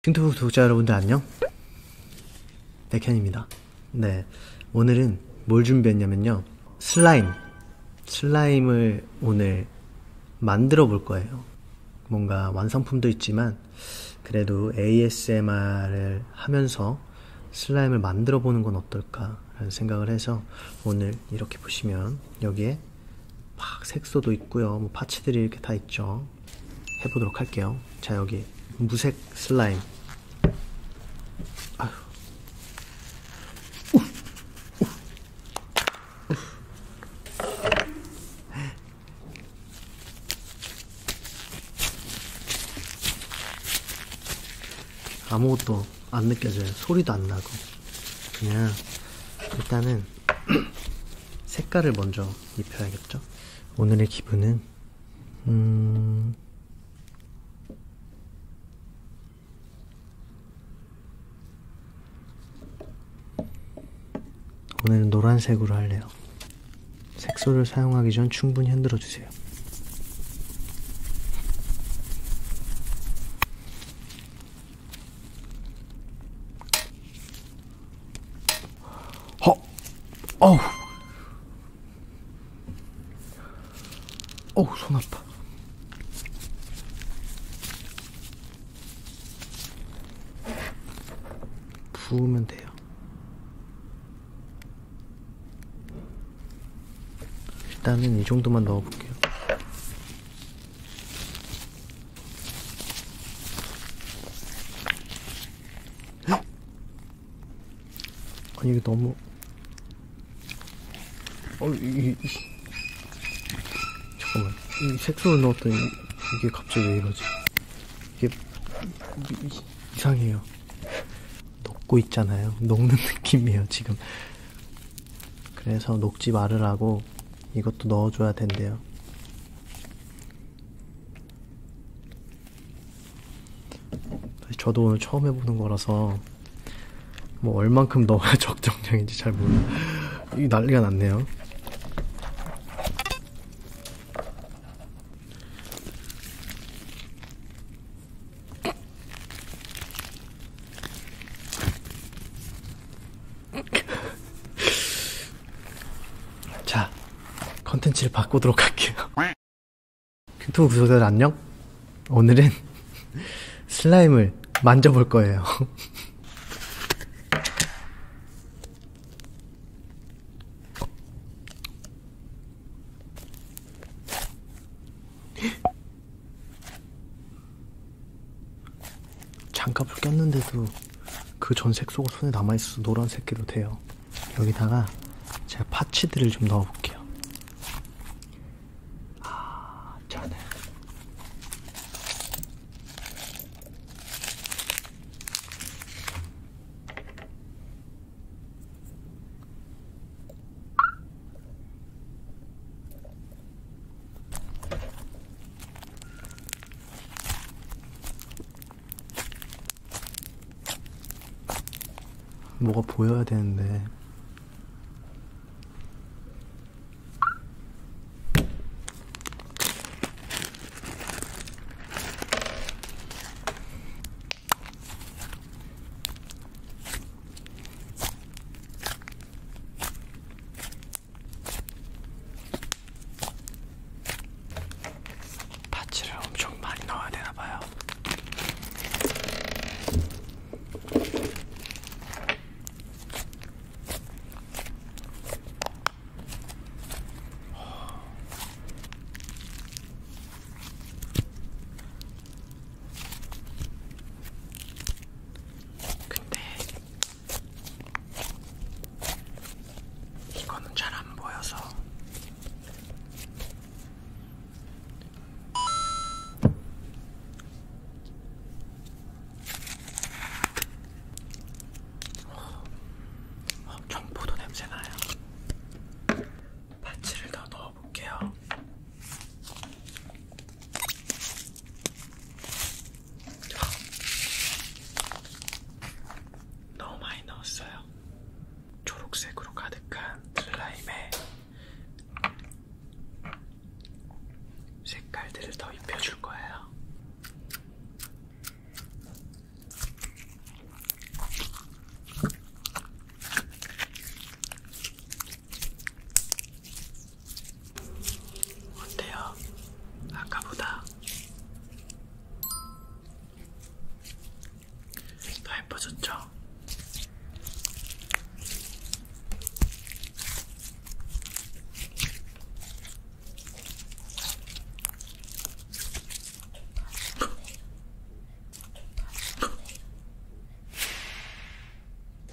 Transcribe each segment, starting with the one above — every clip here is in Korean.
핑토북 독자 여러분들 안녕? 백현입니다. 네, 오늘은 뭘 준비했냐면요. 슬라임! 슬라임을 오늘 만들어 볼 거예요. 뭔가 완성품도 있지만 그래도 ASMR을 하면서 슬라임을 만들어 보는 건 어떨까라는 생각을 해서 오늘 이렇게 보시면 여기에 막 색소도 있고요. 뭐 파츠들이 이렇게 다 있죠. 해보도록 할게요. 자, 여기 무색 슬라임. 아휴. 아무것도 안 느껴져요. 소리도 안 나고. 그냥 일단은 색깔을 먼저 입혀야겠죠. 오늘의 기분은 음... 오늘은 노란색으로 할래요. 색소를 사용하기 전 충분히 흔들어 주세요. 어, 어우. 어우, 손 아파. 부으면 돼요. 일단은 이 정도만 넣어볼게요. 아니 이게 너무 어, 이, 이, 잠깐만 이 색소를 넣었더니 이게 갑자기 왜 이러지 이게 이상해요 녹고 있잖아요 녹는 느낌이에요 지금 그래서 녹지 말으라고 이것도 넣어줘야 된대요 저도 오늘 처음 해보는 거라서 뭐 얼만큼 넣어야 적정량인지 잘 모르. 이 난리가 났네요. 자, 컨텐츠를 바꾸도록 할게요. 유튜브 그 구독자 안녕? 오늘은 슬라임을 만져볼 거예요. 장갑을 꼈는데도 그 전색 속옷 손에 남아있어서 노란색끼도 돼요. 여기다가 제가 파치들을 좀 넣어볼게요. 아, 저는 뭐가 보여야 되는데 파츠를 엄청 많이 넣어야 되나봐요. 근데 이거는 잘안 보여서 어, 어, 경포도 냄새 나요. 파츠를 더 넣어볼게요. 너무 많이 넣었어요. 초록색으로 가득한 슬라임에 색깔들을 더 입혀줄 거예요. 어때요? 아까보다 더 예뻐졌죠?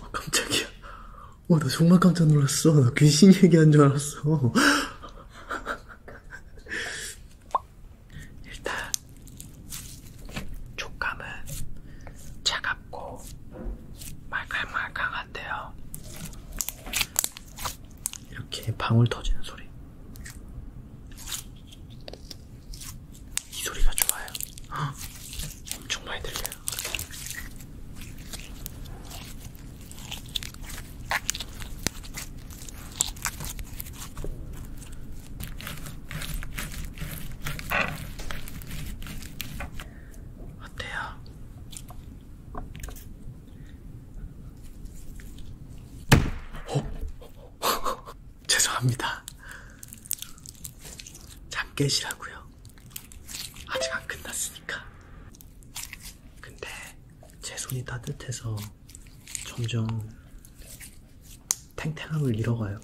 어, 깜짝이야. 와, 나 정말 깜짝 놀랐어. 나 귀신 얘기한 줄 알았어. 일단, 촉감은 차갑고 말캉말캉한데요. 이렇게 방울 터지는 소리. 이 소리가 좋아요. 헉, 엄청 많이 들려요. 어때요? 어? 죄송합니다. 잠 깨시라고요. 아직 안 끝났으니까. 근데 제 손이 따뜻해서 점점 탱탱함을 잃어가요.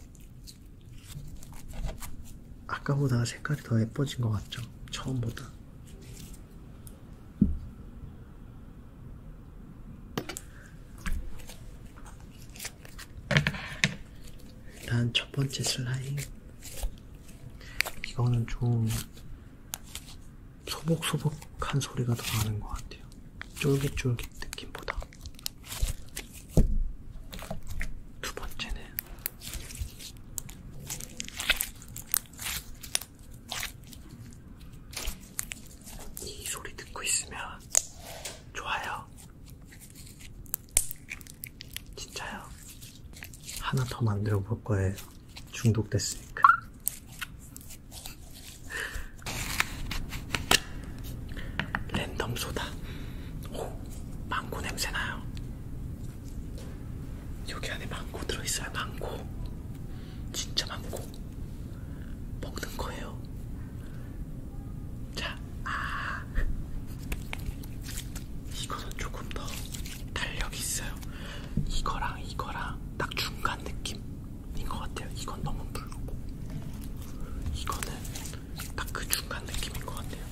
아까보다 색깔이 더 예뻐진 것 같죠? 처음보다. 일단 첫 번째 슬라임. 이거는 좀 소복소복한 소리가 더 나는 것 같아요. 쫄깃쫄깃 느낌보다. 두 번째는 이 소리 듣고 있으면 좋아요. 진짜요. 하나 더 만들어 볼 거예요. 중독됐으니까. 랜덤 소다. 오, 망고 냄새 나요. 여기 안에 망고 들어있어요. 망고. 진짜 망고. 먹는 거예요. 자, 아. 이거는 조금 더 탄력이 있어요. 이거랑 이거랑 딱 중간 느낌인 것 같아요. 이건 너무 붉고 이거는 딱 그 중간 느낌인 것 같아요.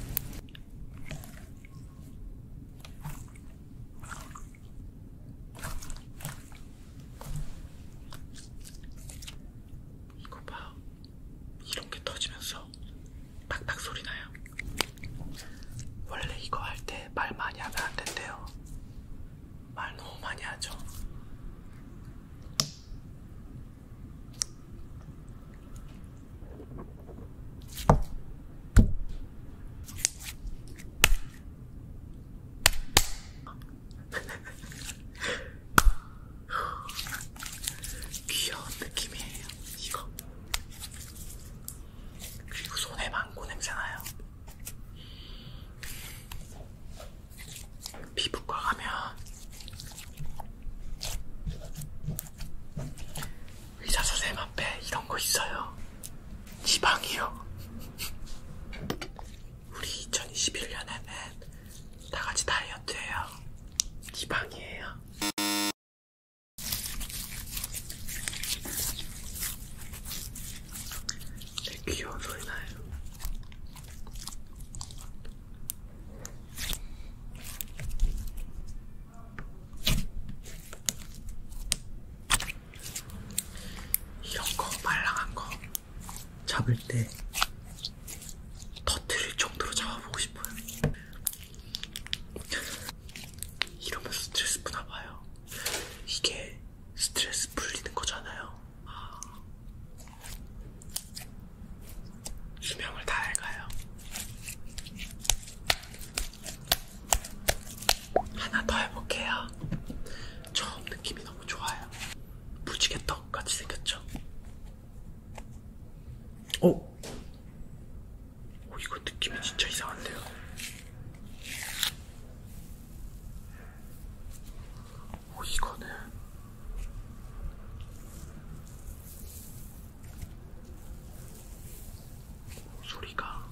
이거 봐. 이런 게 터지면서 팍팍 소리 나요. 원래 이거 할 때 말 많이 하면 안 된대요. 말 너무 많이 하죠. 귀여운 느낌이에요. 이거 그리고 손에 많고 냄새나요. 피부과 가면 의사 선생님 앞에 이런 거 있어요. 지방이요. 우리 2021년에는 다 같이 다이어트해요. 지방이에요. 되게 귀여운 소리 나요. 이런 거, 말랑한 거 잡을 때 터트릴 정도로 잡아보고 싶어요. 이러면서 스트레스 푸나 봐요. 이게 스트레스 풀리는 거잖아요. 아... 수명을 다 낡아요. 하나 더 해볼게요. 처음 느낌이 너무 좋아요. 무지개 떡같이 생겼죠? 오! 어? 오 이거 느낌이 진짜 이상한데요. 오 이거는 소리가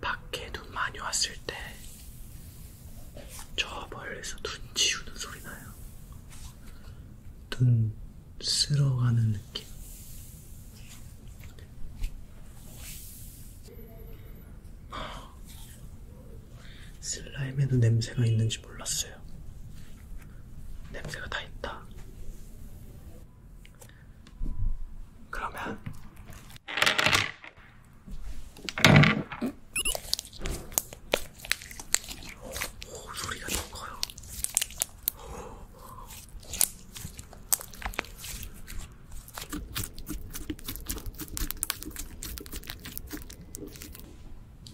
밖에 눈 많이 왔을 때. 저 멀리서 눈 치우는 소리 나요. 눈 쓸어가는 느낌. 슬라임에도 냄새가 있는지 몰랐어요. 냄새가 다 있다. 그러면 오, 소리가 너무 커요.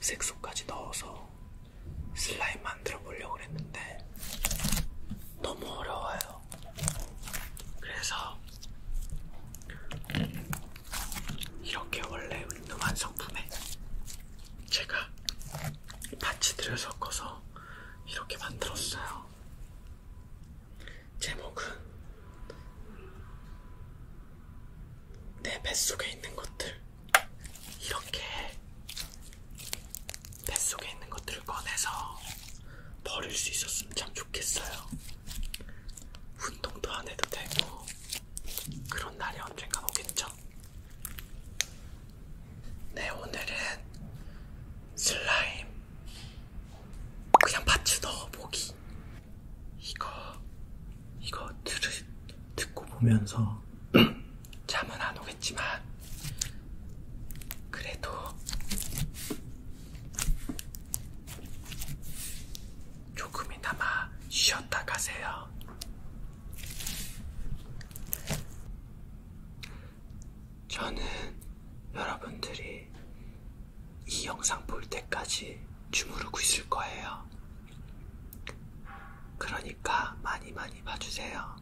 색소까지 넣어서 슬라임 만들어 보려고 했는데 너무 어려워요. 그래서 이렇게 원래 있는 완성품에 제가 파치들을 섞어서 이렇게 만들었어요. 제목은 내 뱃속에 있는 것들. 이렇게 뱃속에 있는 것들을 꺼내서 버릴 수 있었으면 참 좋겠어요. 운동도 안 해도 되고, 그런 날이 언젠간 오겠죠? 있어. 네, 오늘은 슬라임 그냥 밭에 넣어보기. 이거 이거 들을 듣고 보면서 잠은 안 오겠지만 그래도 조금이나마 쉬었다 가세요. 저는 여러분들이 이 영상 볼 때까지 주무르고 있을 거예요. 그러니까 많이 많이 봐주세요.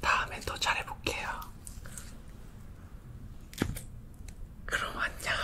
다음엔 더 잘해볼게요. 그럼 안녕.